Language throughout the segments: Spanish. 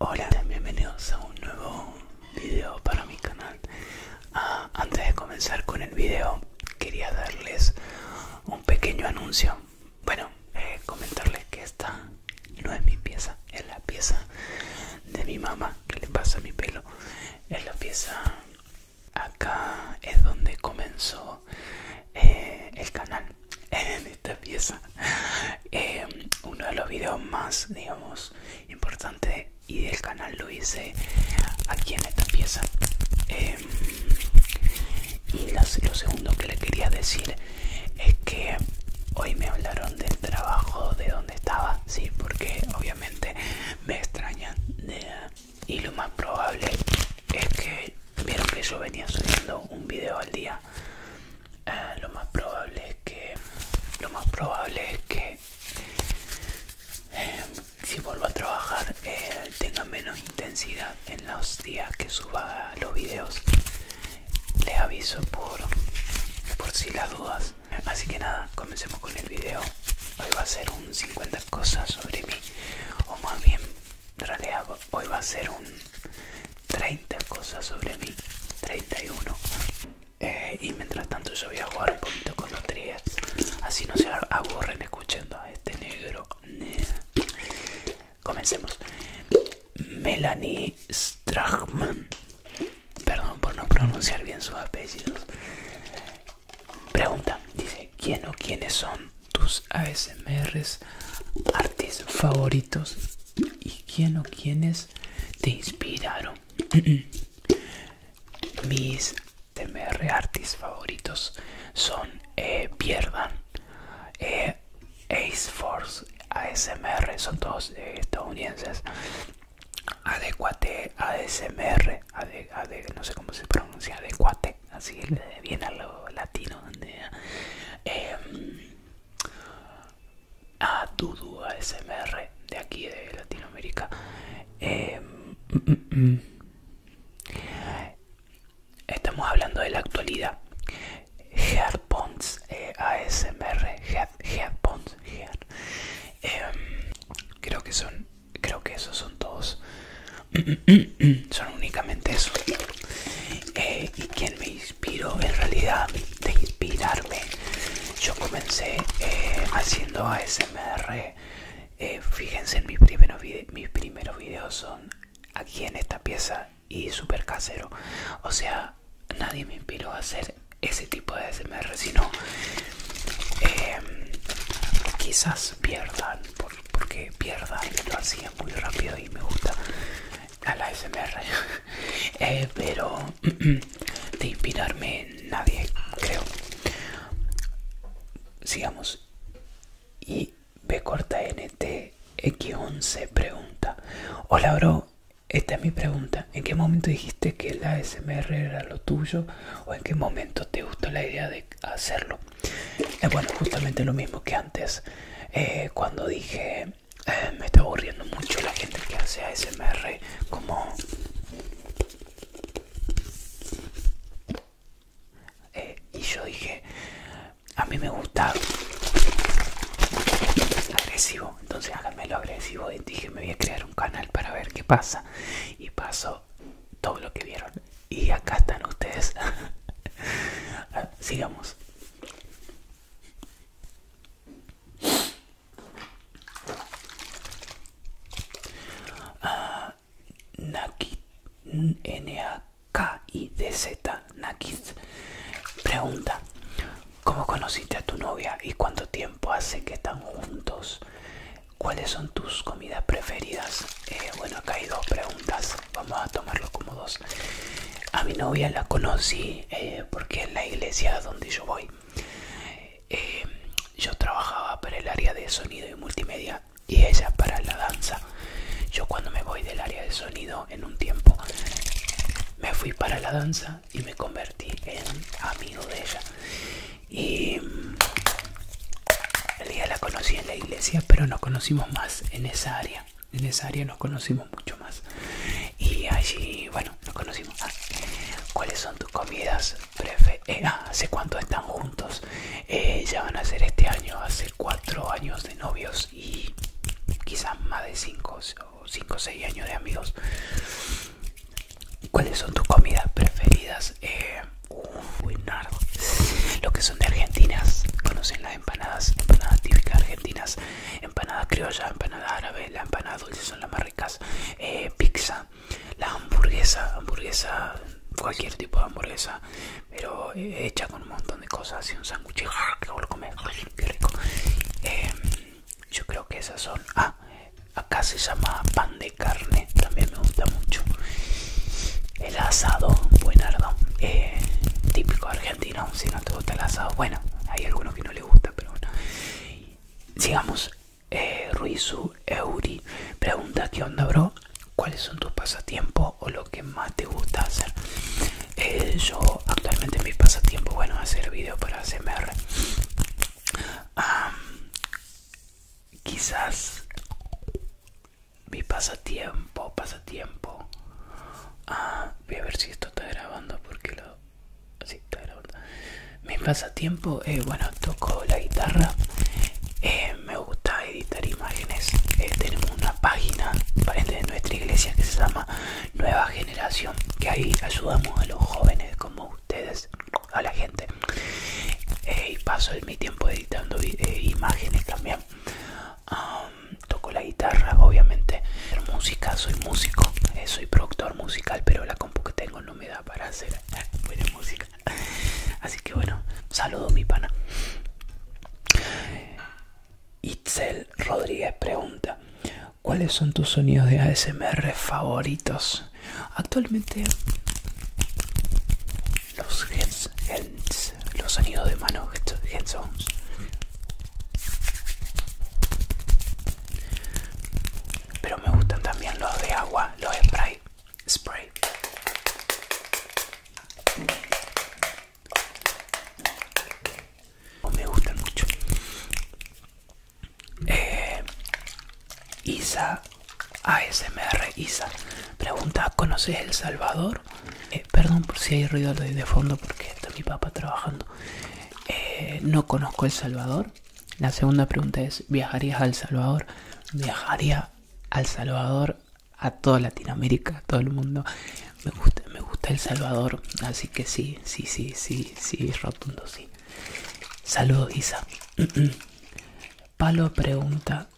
Hola, bienvenidos a un nuevo video para mi canal. Ah, antes de comenzar con el video, quería darles un pequeño anuncio. Bueno, eh, comentarles que está no es mi pieza, es la pieza de mi mamá que le pasa mi pelo. Es la pieza. Acá es donde comenzó eh, el canal. En esta pieza. Eh, uno de los videos más, digamos, importantes y del canal lo hice aquí en esta pieza. Eh, y lo segundo que le quería decir es que hoy me hablaron del trabajo de donde estaba, sí, porque obviamente me extrañan y lo más probable es que vieron que yo venía subiendo un video al día. Ah, lo más probable es que lo más probable es que eh, si vuelvo a trabajar eh, tenga menos intensidad en los días que suba los videos les aviso por, por si las dudas. Así que nada, comencemos con el video. Hoy va a ser un 50 cosas sobre mí, o más bien, en hoy va a ser un 30 cosas sobre mí, 31. Eh, y mientras tanto, yo voy a jugar un poquito con los así no se aburren escuchando a este negro. Comencemos. Melanie Strachman. Perdón por no pronunciar bien sus apellidos. Pregunta, dice, ¿quién o quiénes son tus ASMR artistas favoritos? ¿Y quién o quiénes te inspiraron? Mis ASMR artistas favoritos son eh, Pierdan, eh, Ace Force ASMR, son todos eh, estadounidenses. Adecuate ASMR, ade, no sé cómo se pronuncia, adecuate, así viene a lo latino. Em, a Dudu ASMR de aquí de Latinoamérica. Em, mm, mm, mm. Estamos hablando de la actualidad. Headbonds e ASMR Headbones em, creo que son creo que esos son todos son únicamente eso eh, y quien me inspiró en realidad de inspirarme yo comencé eh, haciendo ASMR eh, fíjense en mis primeros, mis primeros videos son aquí en esta pieza y super casero. O sea, nadie me inspiró a hacer ese tipo de SMR, sino em, quizás pierdan, porque pierdan lo hacía muy rápido y me gusta a la SMR. Eh, pero de inspirarme nadie, creo. Sigamos. Y B corta NTX11 pregunta. Hola bro, esta es mi pregunta. ¿En qué momento dijiste que el asmr era lo tuyo? ¿O en qué momento te gustó la idea de hacerlo? es bueno, justamente lo mismo que antes. Eh, cuando dije, eh, me está aburriendo mucho la gente que hace ASMR como... Eh, y yo dije, a mí me gusta agresivo, entonces háganmelo agresivo. Y dije, me voy a crear un canal para ver qué pasa. Y pasó todo lo que vieron. Y acá están ustedes. Ah, sigamos. Ah, N-A-K-I-D-Z, Nakid, pregunta, ¿Cómo conociste a tu novia y cuánto tiempo hace que están juntos? ¿Cuáles son tus comidas preferidas? Eh, bueno, acá hay dos preguntas, vamos a tomarlo como dos. A mi novia la conocí eh, porque en la iglesia donde yo voy, eh, yo trabajaba para el área de sonido y multimedia y ella para la danza. Yo cuando me voy del área de sonido en un tiempo. Me fui para la danza y me convertí en amigo de ella. Y mm, el día la conocí en la iglesia, pero nos conocimos más en esa área. En esa área nos conocimos mucho más. Y allí, bueno, nos conocimos ¿Cuáles son tus comidas prefe? Eh, ah, ¿Hace cuánto están juntos? Eh, ya van a ser este año, hace cuatro años de novios y quizás más de cinco o 5 o 6 años de amigos cuáles son tus comidas preferidas eh, lo que son de argentinas conocen las empanadas típicas argentinas empanadas criolla, empanadas árabe, las empanadas dulces son las más ricas eh, pizza la hamburguesa hamburguesa cualquier tipo de hamburguesa pero eh, hecha con un montón de cosas y un sándwich que a comer rico em, yo creo que esas son ah acá se llama pan de carne también me gusta mucho el asado buenardo eh, típico argentino si no te gusta el asado bueno hay algunos que no le gusta pero bueno sigamos eh, Ruizu Euri pregunta que onda bro cuáles son tus pasatiempos o lo que más te gusta hacer eh, yo actualmente mi pasatiempo bueno hacer videos para cmr quizás mi pasatiempo pasatiempo ah, voy a ver si esto está grabando porque lo si está grabando mi pasatiempo eh, bueno toco la guitarra eh, me gusta editar imágenes tenemos una página de nuestra iglesia que se llama nueva generación que ahí ayudamos a los jóvenes como ustedes a la gente eh, y paso mi tiempo editando eh, imágenes también toco la guitarra obviamente música soy músico eh, soy productor musical pero la compu que tengo no me da para hacer buena música así que bueno saludo mi pana Itzel Rodríguez pregunta, ¿cuáles son tus sonidos de ASMR favoritos? Actualmente los los sonidos de mano, headphones. Pero me gustan también los de agua, los spray, spray me gustan mucho eh, Isa ASMR Isa pregunta ¿conoces El Salvador? Eh, perdón por si hay ruido de fondo porque está mi papá trabajando eh, no conozco El Salvador la segunda pregunta es ¿viajarías al Salvador? viajaría al Salvador a toda Latinoamérica a todo el mundo me gusta el Salvador así que sí sí sí sí sí rotundo sí saludos Isa Palo pregunta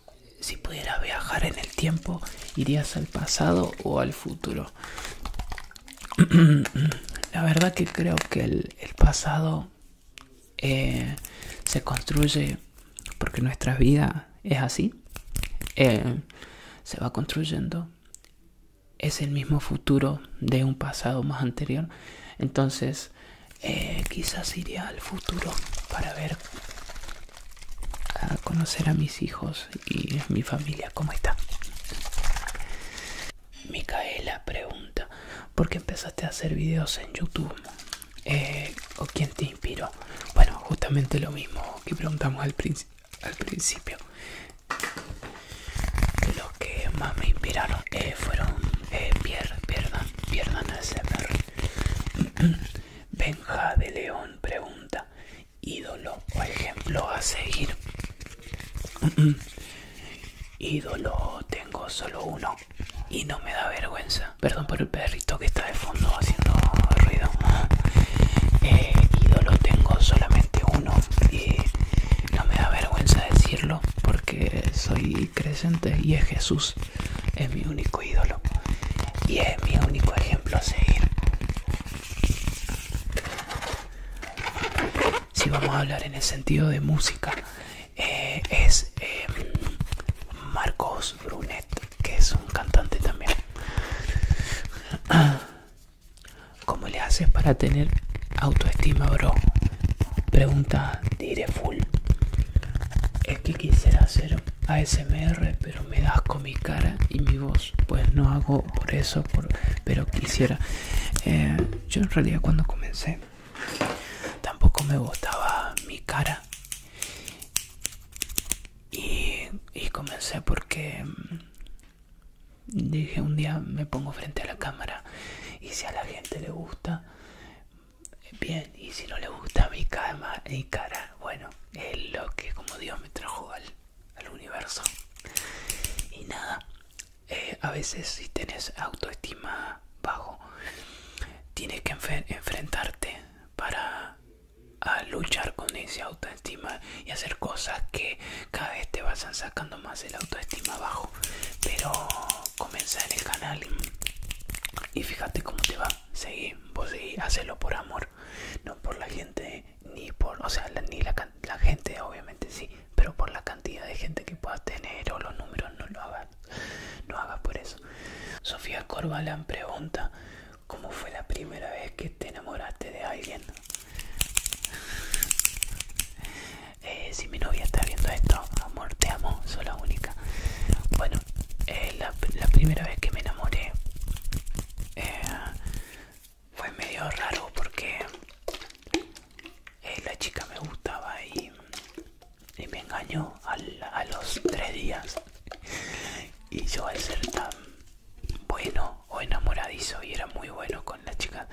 si pudiera viajar en el tiempo irías al pasado o al futuro la verdad que creo que el, pasado eh, se construye porque nuestra vida es así eh, se va construyendo es el mismo futuro de un pasado más anterior. Entonces, eh, quizás iría al futuro para ver, a conocer a mis hijos y a mi familia, cómo está. Micaela pregunta, ¿por qué empezaste a hacer videos en YouTube? Eh, ¿O quién te inspiró? Bueno, justamente lo mismo que preguntamos al, principio al principio lo que más me inspiraron eh, fueron eh, Pierre, Pierdan, Pierdan Benja de León pregunta ídolo o ejemplo a seguir ídolo tengo solo uno y no me da vergüenza perdón por el perrito que está de fondo haciendo ruido eh, ídolo tengo solamente uno y no me da vergüenza decirlo porque soy creyente y es Jesús, es mi único ídolo y es mi único ejemplo a seguir. Si vamos a hablar en el sentido de música, eh, es em, Marcos Brunet, que es un cantante también. ¿Cómo le haces para tener autoestima, bro? Pregunta Direful. Es que quisiera hacer ASMR, pero me das con mi cara y mi voz. Pues no hago por eso, pero quisiera. Eh, yo en realidad cuando comencé tampoco me gustaba mi cara. Y, y comencé porque mm, Dije, un día me pongo frente a la cámara y si a la gente le gusta, bien, y si no le gusta mi, cama, mi cara, bueno, es lo que como Dios me trajo al, universo. Y nada, eh, a veces si tenés autoestima bajo, tienes que enfrentarte para a luchar con esa autoestima y hacer cosas que cada vez te vas sacando más el autoestima abajo pero comienza en el canal y fíjate cómo te va seguí vos y hacelo por amor no por la gente ni por o sea ni la, la gente obviamente sí pero por la cantidad de gente que puedas tener o los números no lo hagas no hagas por eso Sofía Corbalán pregunta ¿Cómo fue la primera vez que te enamoraste de alguien? Eh, si mi novia está viendo esto, amor, te amo, soy la única. Bueno, eh, la, primera vez que me enamoré eh, fue medio raro porque la chica me gustaba y, me engañó a los tres días. Y yo al ser tan bueno o enamoradizo y era muy bueno con la chica.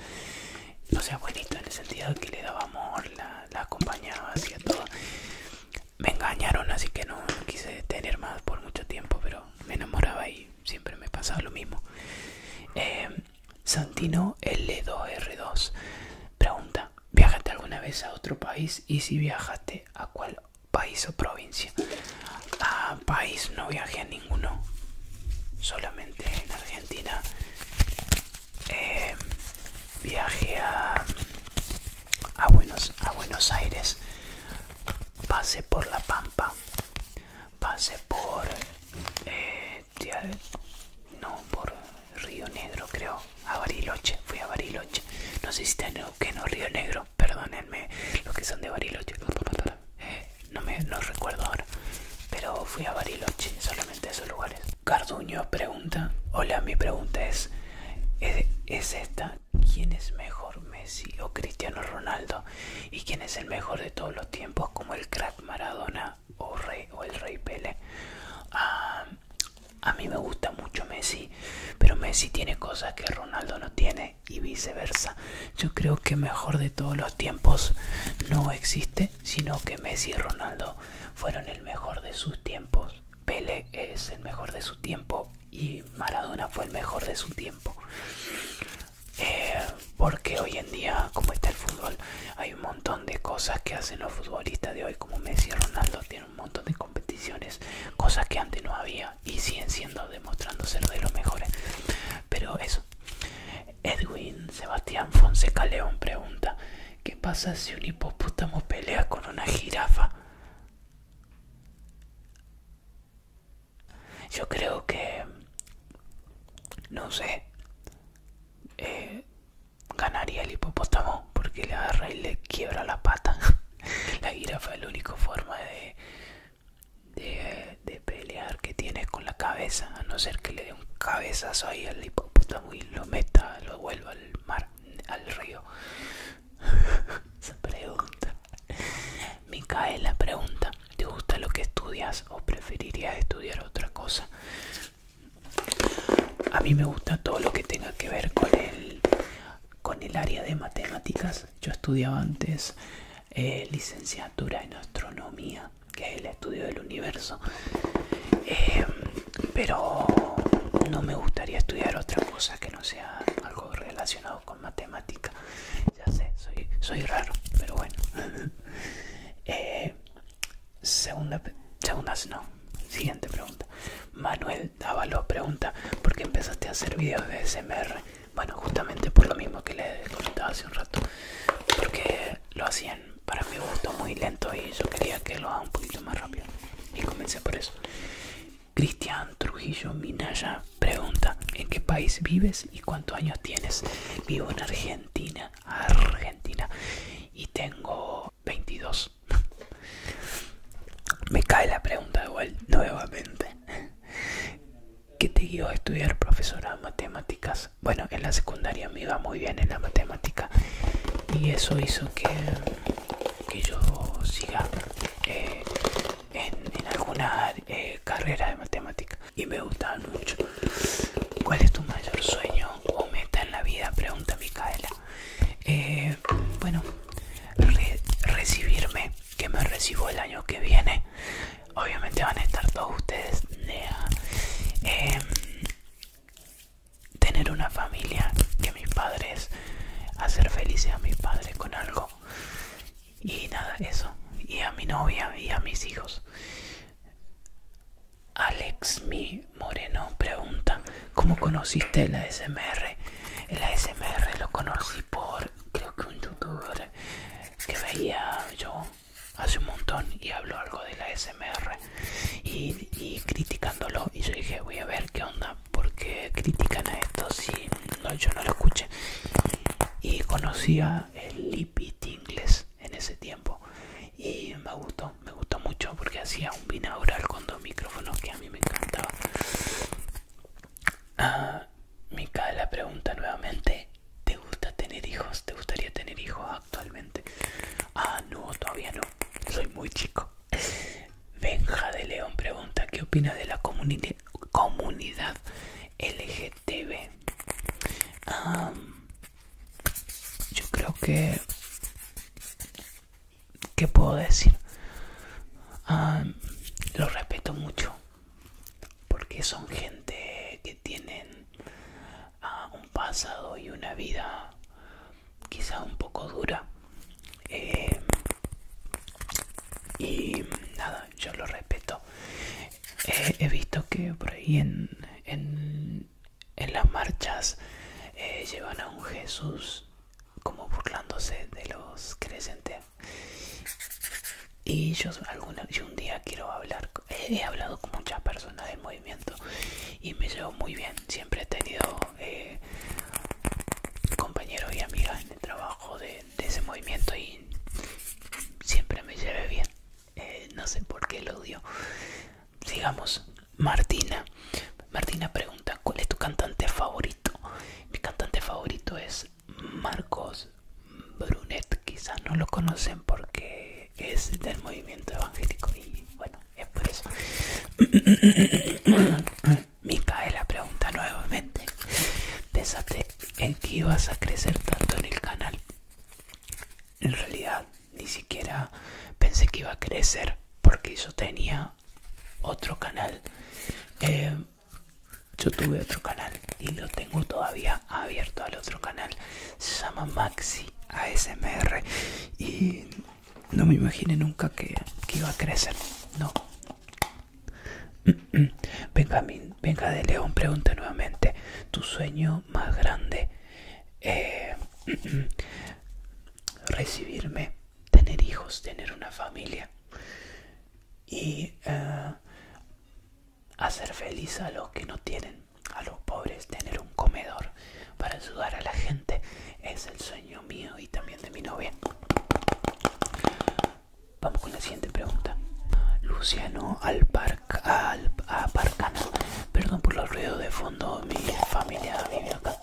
No sea bonito en el sentido que le daba amor, la, acompañaba, hacía todo. Me engañaron, así que no, quise tener más por mucho tiempo, pero me enamoraba y siempre me pasaba lo mismo. Em, Santino L2R2 pregunta: ¿Viajaste alguna vez a otro país? Y si viajaste, ¿a cuál país o provincia. A país no viajé a ninguno, solamente en Argentina. Em, viaje a, Buenos, a Buenos Aires, pase por La Pampa, pase por... Eh, no, por Río Negro creo, a Bariloche, fui a Bariloche, no sé si está en no Río Negro, perdónenme los que son de Bariloche. Eh, no, recuerdo ahora, pero fui a Bariloche, solamente esos lugares. Carduño pregunta, hola, mi pregunta es, es, esta, ¿quién es mejor, Messi o Cristiano Ronaldo? ¿Y quién es el mejor de todos los tiempos, como el crack Maradona o, Rey, el Rey Pele? Ah, a mí me gusta mucho Messi, pero Messi tiene cosas que Ronaldo no tiene y viceversa. Yo creo que mejor de todos los tiempos no existe, sino que Messi y Ronaldo fueron el mejor de sus tiempos. Pele es el mejor de su tiempo y Maradona fue el mejor de su tiempo. Eh, porque hoy en día, como está el fútbol, hay un montón de cosas que hacen los futbolistas de hoy, como Messi y Ronaldo, tienen un montón de competiciones, cosas que antes no había y siguen siendo demostrándose ser de los mejores. Pero eso. Edwin Sebastián Fonseca León pregunta, ¿qué pasa si un hipopótamo pelea con una jirafa? Yo creo que... No sé. Eh, ganaría el hipopótamo porque le agarra y le quiebra la pata. la jirafa es la única forma de de, pelear que tienes con la cabeza, a no ser que le dé un cabezazo ahí al hipopótamo y lo meta, lo vuelva al mar, al río. me pregunta. la pregunta, ¿te gusta lo que estudias o preferirías estudiar otra cosa? A mí me gusta todo lo que tenga que ver con el, con el área de matemáticas yo estudiaba antes eh, licenciatura en astronomía, que es el estudio del universo, eh, pero no me gustaría estudiar otra cosa que no sea algo relacionado con matemática. Ya sé, soy, soy raro, pero bueno. eh, segunda, no. Siguiente pregunta. Manuel Avalo pregunta, ¿por qué empezaste a hacer videos de SMR? Bueno, justamente por lo mismo que les comentaba hace un rato, porque lo hacían para mi gusto muy lento y yo quería que lo haga un poquito más rápido. Y comencé por eso. Cristian Trujillo Minaya pregunta, ¿en qué país vives y cuántos años tienes? Vivo en Argentina, Argentina, y tengo 22. Me cae la pregunta igual nuevamente. ¿Qué te guió a estudiar profesora de matemáticas? Bueno, en la secundaria me iba muy bien en la matemática y eso hizo que, yo siga eh, en, alguna eh, carrera de matemática y me gustaba mucho. ¿Cuál es tu mayor sueño o meta en la vida? Pregunta Micaela. Eh, bueno, recibirme que me recibo el año que viene obviamente van a estar todos ustedes em, tener una familia que mis padres hacer felices a mis padres con algo y nada eso y a mi novia y a mis hijos Alex mi Moreno pregunta ¿Cómo conociste la SMR? La SMR lo conocí por creo que un youtuber que veía yo hace un montón y habló algo de la SMR y, criticándolo y yo dije voy a ver qué onda porque critican a esto si yo no lo escuché y conocía el lipit inglés en ese tiempo y me gustó, me gustó mucho porque hacía un binaural con dos micrófonos que a mí me encantaba. Ah, mika, la pregunta nuevamente. ¿Te gusta tener hijos? ¿Te gustaría tener hijos actualmente? Ah, no, todavía no. Soy muy chico. Benja de León pregunta, ¿qué opinas de la comunidad LGTB? yo creo que... ¿Qué puedo decir? Ah, lo los respeto mucho porque son gente que tienen ah, un pasado y una vida quizá un poco dura eh, y nada yo lo respeto eh, he visto que por ahí en, en, las marchas eh, llevan a un Jesús como burlándose de los creyentes y yo, alguna, yo un día quiero hablar, he hablado con muchas personas del movimiento y me llevo muy bien. Siempre he tenido eh, compañeros y amigas en el trabajo de, ese movimiento y siempre me llevé bien. Eh, no sé por qué lo dio digamos Martina. Martina pregunta, ¿cuál es tu cantante favorito? Mi cantante favorito es Marcos Brunet. Quizás no lo conocen porque es del movimiento evangélico y bueno, es por eso. la pregunta nuevamente. Pensaste en que ibas a crecer tanto en el canal. En realidad ni siquiera pensé que iba a crecer porque yo tenía otro canal eh, yo tuve otro canal y lo tengo todavía abierto al otro canal. Se llama Maxi ASMR y no me imaginé nunca que, que iba a crecer. No. Benjamín, venga de León, pregunta nuevamente. ¿Tu sueño más grande? Eh, recibirme tener hijos, tener una familia y eh, hacer feliz a los que no tienen, a los pobres, tener un comedor para ayudar a la gente es el sueño mío y también de mi novia. Vamos con la siguiente pregunta. Luciano al parque al, parcano. perdón por los ruidos de fondo, mi familia vive acá.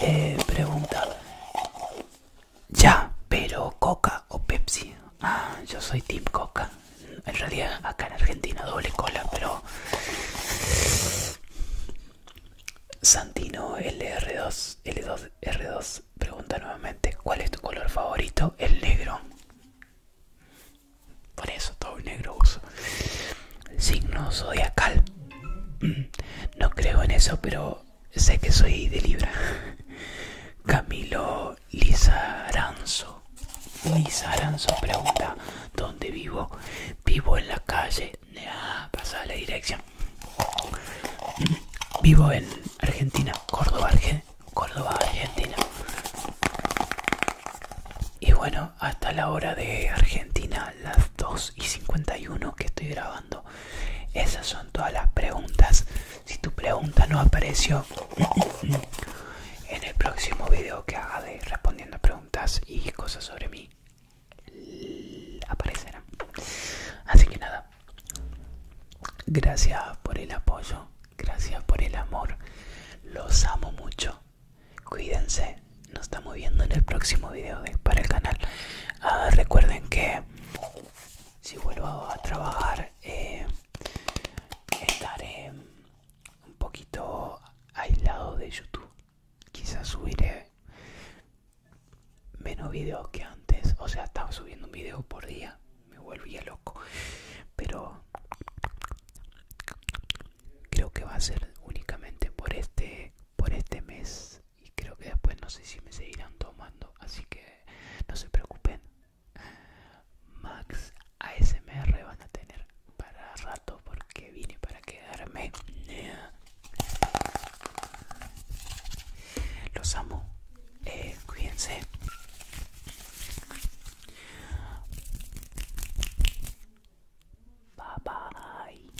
Eh, pregunta, ya, pero Coca o Pepsi. Ah, yo soy Team Coca. En realidad acá en Argentina doble cola, pero... Santino LR2, L2, R2 pregunta nuevamente, ¿cuál es tu color favorito? El negro. Por eso todo el negro uso. Signo zodiacal. No creo en eso, pero sé que soy de Libra. Camilo Lizaranzo. Lizaranzo pregunta, ¿dónde vivo? Vivo en la calle. Ah, pasa la dirección. Vivo en Argentina, Córdoba, Córdoba, Argentina. Y bueno, hasta la hora de Argentina, las 2 y 51 que estoy grabando esas son todas las preguntas. Si tu pregunta no apareció en el próximo video que haga de respondiendo preguntas y cosas sobre mí, aparecerán. Así que nada, gracias por el apoyo, gracias por el amor. Los amo mucho. Cuídense. Nos estamos viendo en el próximo video para el canal. Ah, recuerden que si vuelvo a trabajar eh, estaré un poquito aislado de YouTube. Quizás subiré menos videos que antes. O sea, estaba subiendo un vídeo por día. Me volvía loco. Pero creo que va a ser únicamente por este por este mes y creo que después no sé si me seguirán tomando, así que no se preocupen. Max ASMR van a tener para rato porque vine para quedarme. Los amo. Eh, cuídense. Bye bye.